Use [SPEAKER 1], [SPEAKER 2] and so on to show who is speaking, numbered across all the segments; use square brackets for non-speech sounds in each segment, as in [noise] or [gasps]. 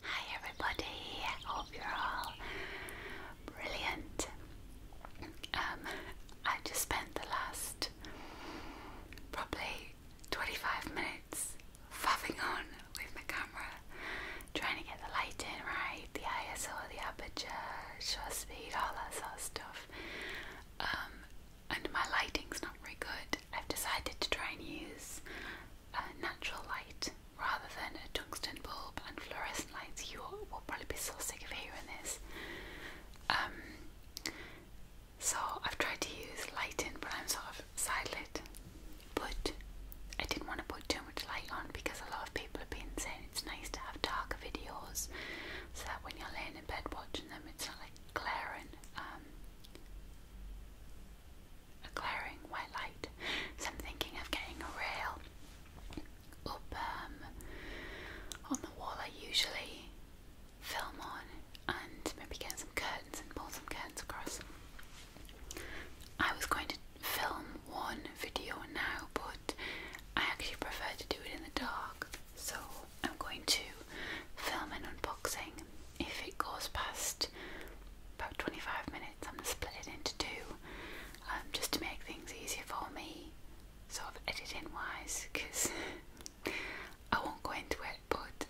[SPEAKER 1] Hi, everybody. hope you're all brilliant. Um, i just spent the last probably 25 minutes faffing on with my camera, trying to get the light in right, the ISO, the aperture, shutter speed, all that sort of stuff. Um, and my lighting's not very good. I've decided to try and use natural light rather than a tungsten bulb and fluorescent lights. You will probably be so sick of hearing this. Um, so I've tried to use lighting, but I'm sort of side lit. But I didn't want to put too much light on because a lot of people have been saying it's nice to have darker videos so that when you're laying in bed watching them, it's not like glaring, um, a glaring white light. So I'm thinking of getting a rail up um, on the wall I usually film on, and maybe get some curtains and pull some curtains across. I was going to film one video now, but I actually prefer to do it in the dark. So I'm going to film an unboxing. If it goes past about 25 minutes, I'm going to split it into two um, just to make things easier for me, sort of editing wise, because [laughs] I won't go into it, but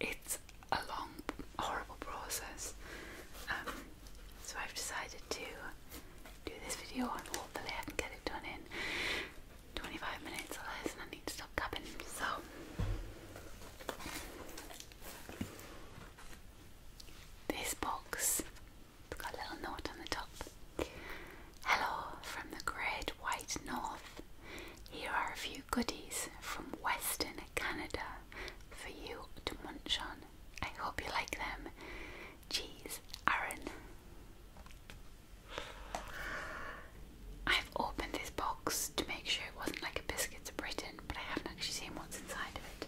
[SPEAKER 1] it's a long, horrible process. Um, so I've decided to do this video and hopefully I can get it done in 25 minutes or I need to stop tapping. So, this box it's got a little knot on the top. Hello from the Great White North. Here are a few goodies from Western Canada for you to munch on. I hope you like them. Jeez, Aaron. I've opened this box to make sure it wasn't like a Biscuits of Britain, but I haven't actually seen what's inside of it.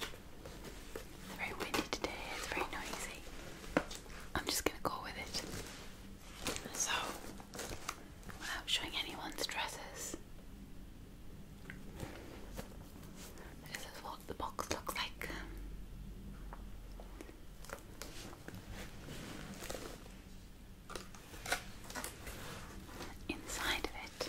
[SPEAKER 1] It's very windy today, it's very noisy. I'm just gonna go with it. So, without showing anyone's dresses, this is what the box looks like. Inside of it.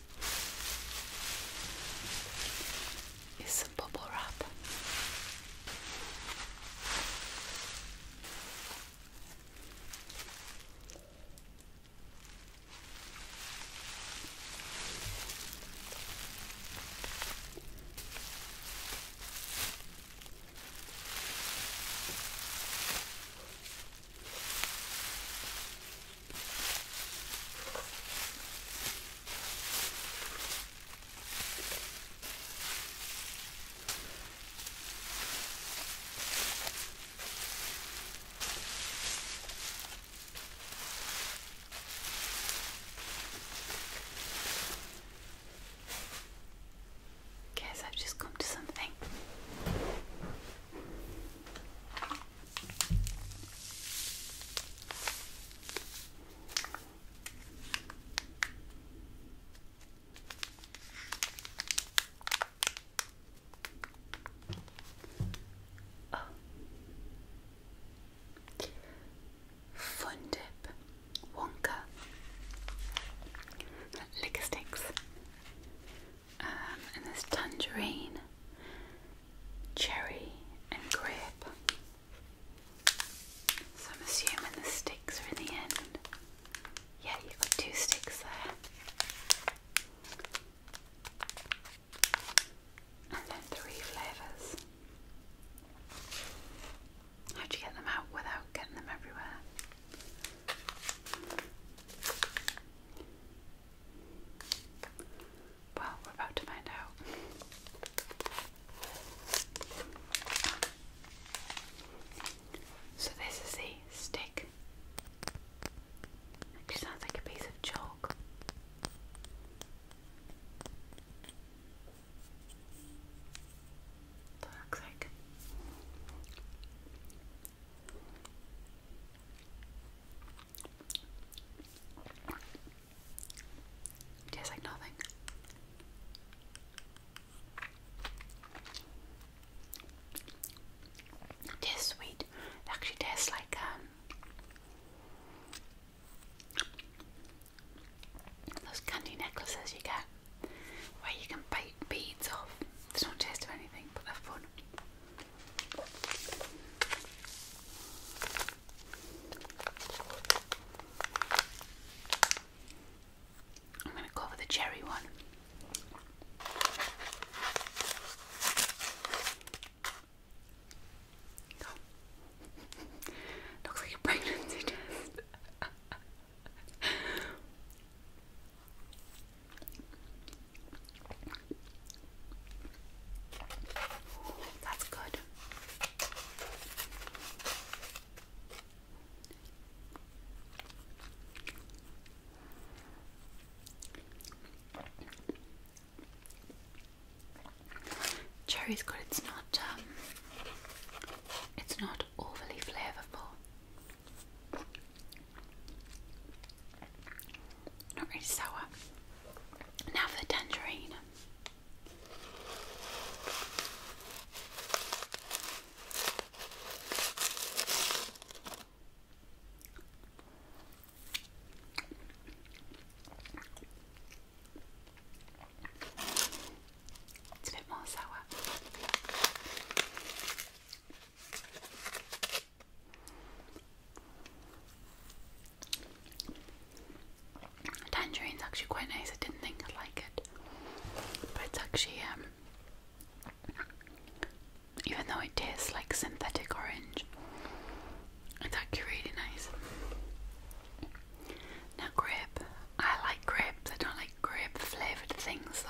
[SPEAKER 1] is some bubble wrap. Guess I've just come to something. Oh. Fun dip, Wonka, liquor sticks, um, and there's tangerine, cherry, and grape. So I'm assuming the sticks are in the end. Yeah, you've got two sticks there. And then three flavours. How'd you get them out without getting them everywhere? Well, we're about to find out. So, this is the stick. It sounds like a piece of chalk. That looks like Tastes like nothing. It tastes sweet. It actually tastes like um those candy necklaces you get where you can bite beads off. There's no taste of anything, but they're fun. I'm going to go for the cherry one. [laughs] Looks like a pregnancy [laughs] test. That's good. Cherry's good. It's not. Um, it's not overly flavorful. Not really sour. Now for the tangerine. It's a bit more sour. Tangerine is actually quite nice. I didn't think I'd like it, but it's actually um. Even though it tastes like synthetic orange, it's actually really nice. Now, grape. I like grapes. I don't like grape flavoured things though.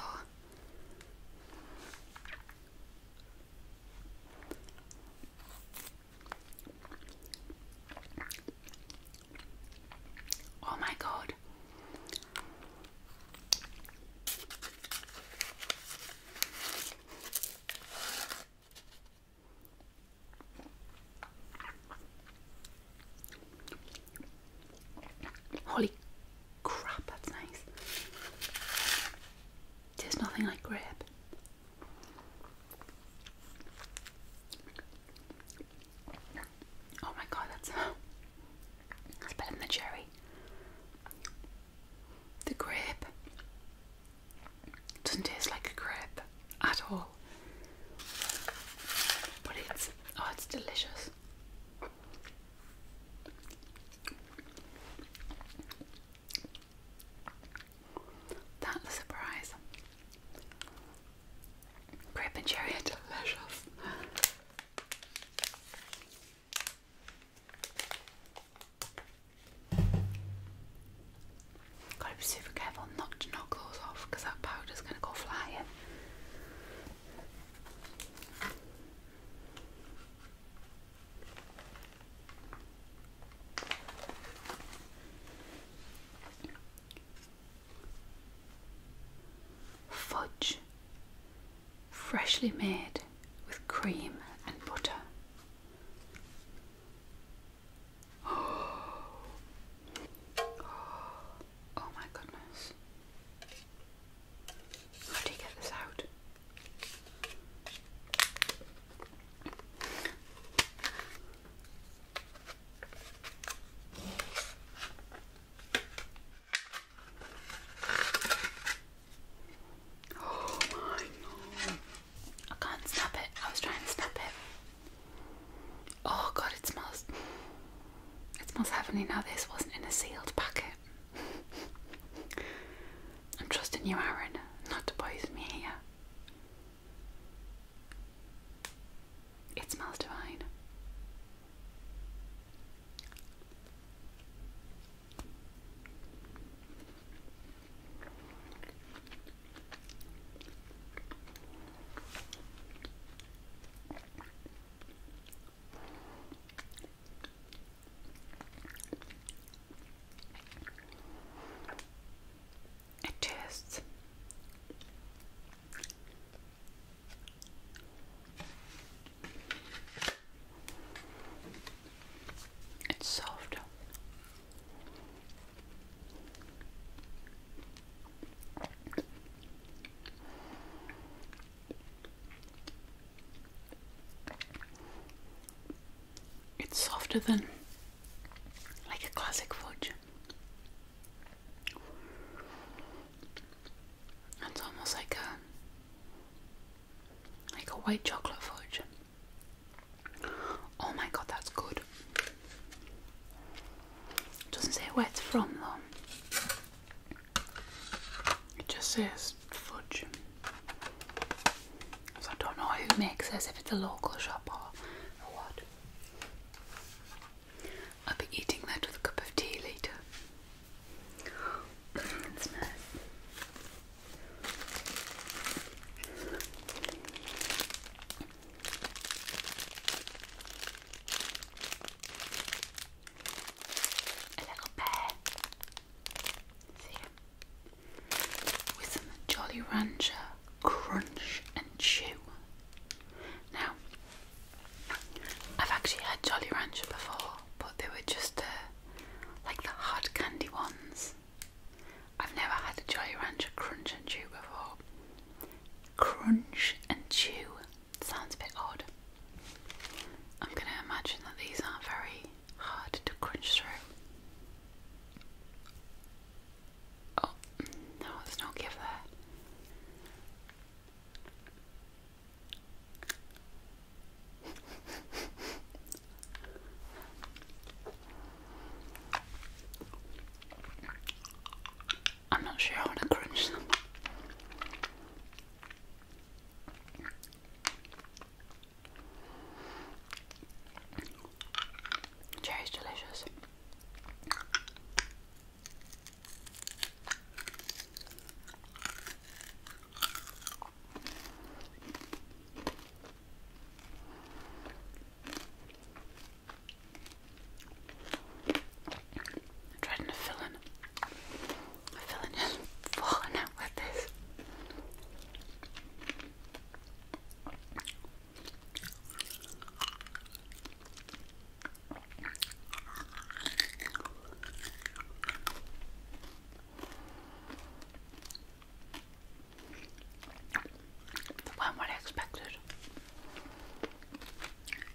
[SPEAKER 1] Oh, my God, Holy crap, that's nice. There's nothing like grape. Oh my god, that's that's better than the cherry. The grape doesn't taste like a grape at all. But it's oh, it's delicious. That's a surprise. Grape and cherry delicious. Gotta be super careful not to knock those off because that powder's gonna go flying. Fudge, freshly made with cream and butter. [gasps] Oh. Oh my goodness. How do you get this out? Oh my I can't snap it. I was trying to snap it. Oh god, it smells. It smells heavenly now. This wasn't in a sealed packet. I'm trusting you, Aaron, not to poison me here. It smells divine. It tastes it's soft it's softer than like a classic fudge. It's almost like a like a white chocolate fudge. Oh my god, that's good. Doesn't say where it's from though. It just says fudge. So I don't know who makes this, if it's a local shop or, or what. I'll be eating that with a cup of tea later. [coughs] it's nice. A little bear. With some Jolly Rancher crunch and chew. Now, I've actually had Jolly Rancher before, but they were just uh, like the hard candy ones. I've never had a Jolly Rancher crunch and chew before. Crunch and chew sounds a bit odd. I'm going to imagine that these aren't very hard to crunch through. Oh, no, there's no give there. [laughs] I'm not sure I want to crunch them. Cherry's delicious. I'm trying to fill in. The filling is falling out with this the one what I expected.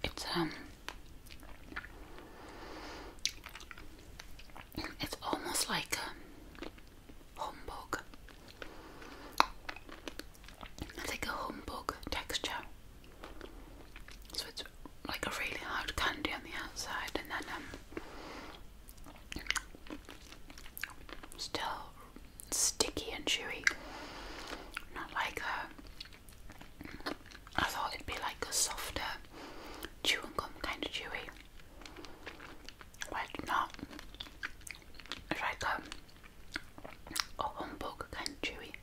[SPEAKER 1] It's um it's almost like um, humbug. It's like a humbug texture. So it's like a really hard candy on the outside and then um Still sticky and chewy. Not like a. I thought it'd be like a softer chewy gum kind of chewy. But not. like a, a kind of chewy.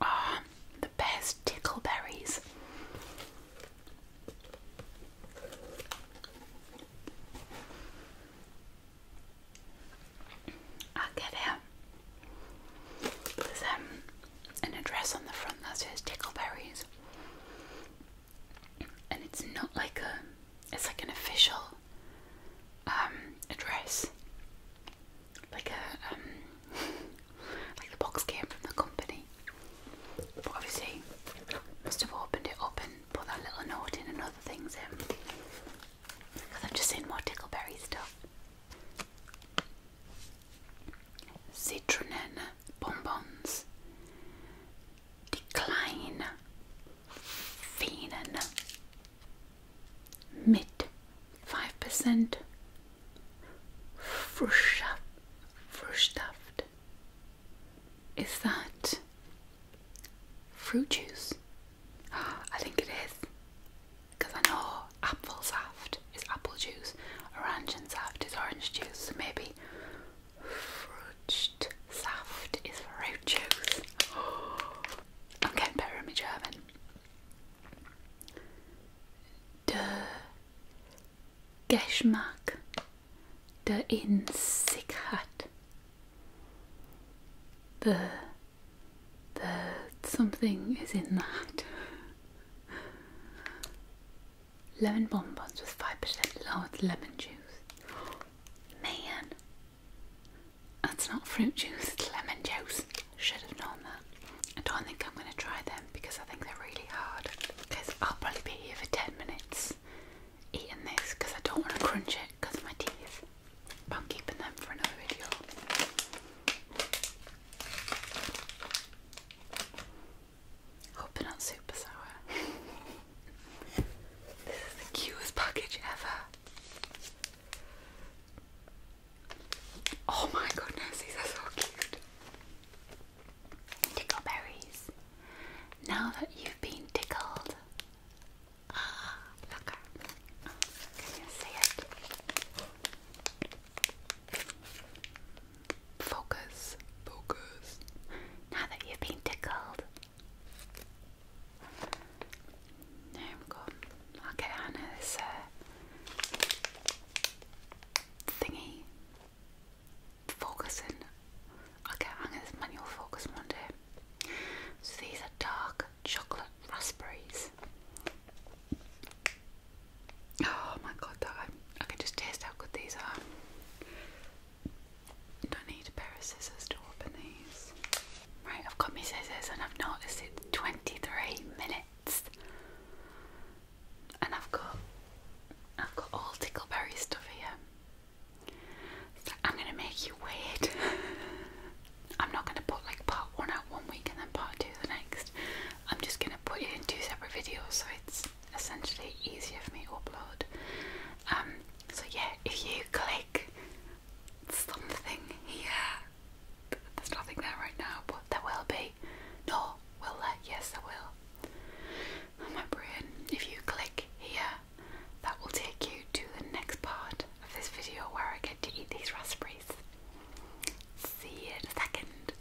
[SPEAKER 1] Ah, the best tickleberries. I get it. There's um, an address on the front that says Tickleberries and it's not like a it's like an official um, address like a um, [laughs] like the box came from the company but obviously must have opened it up and put that little note in and other things in because I've just seen more tickleberry stuff citronen bonbons die kleinen Venen 5% Fruitsaft. Is that fruit juice? [gasps] I think it is. Because I know apple saft is apple juice, orange saft is orange juice, maybe Frucht Saft is fruit juice. [gasps] I'm getting better at my German. Der Geschmack, der in The, the something is in that. Lemon bonbons with 5% lowered lemon juice. Man, that's not fruit juice, it's lemon juice. Should have known that. I don't think I'm going to try them because I think they're really hard. Because I'll probably be here for 10 minutes eating this because I don't want to crunch it because of my teeth. I'm keeping them for another video. Hope they super sour. [laughs] this is the cutest package ever. Oh my goodness, these are so cute. Tickle berries. Now that you've been tickled. Ah, look. Can you see it? Focus. Focus. Now that you've been tickled. There we go. i Hannah this uh, thingy. Focusing. I'll get Hannah manual focus one day. So these are dark chocolate raspberries. Oh my god, I, can just taste how good these are. don't need a pair of scissors to open these. Right, I've got my scissors and I've noticed it's 23 minutes. And I've got I've got all tickleberry stuff here. I'm gonna make you wait. [laughs] I'm not gonna put like part one out one week and then part two the next. I'm just gonna put it in two separate videos so it's essentially easier for me to upload. Um, so yeah, if you click something here, there's nothing there right now, but there will be. No, will there? Yes, there will. Oh, my brain, if you click here, that will take you to the next part of this video where I get to eat these raspberries. See you in a second.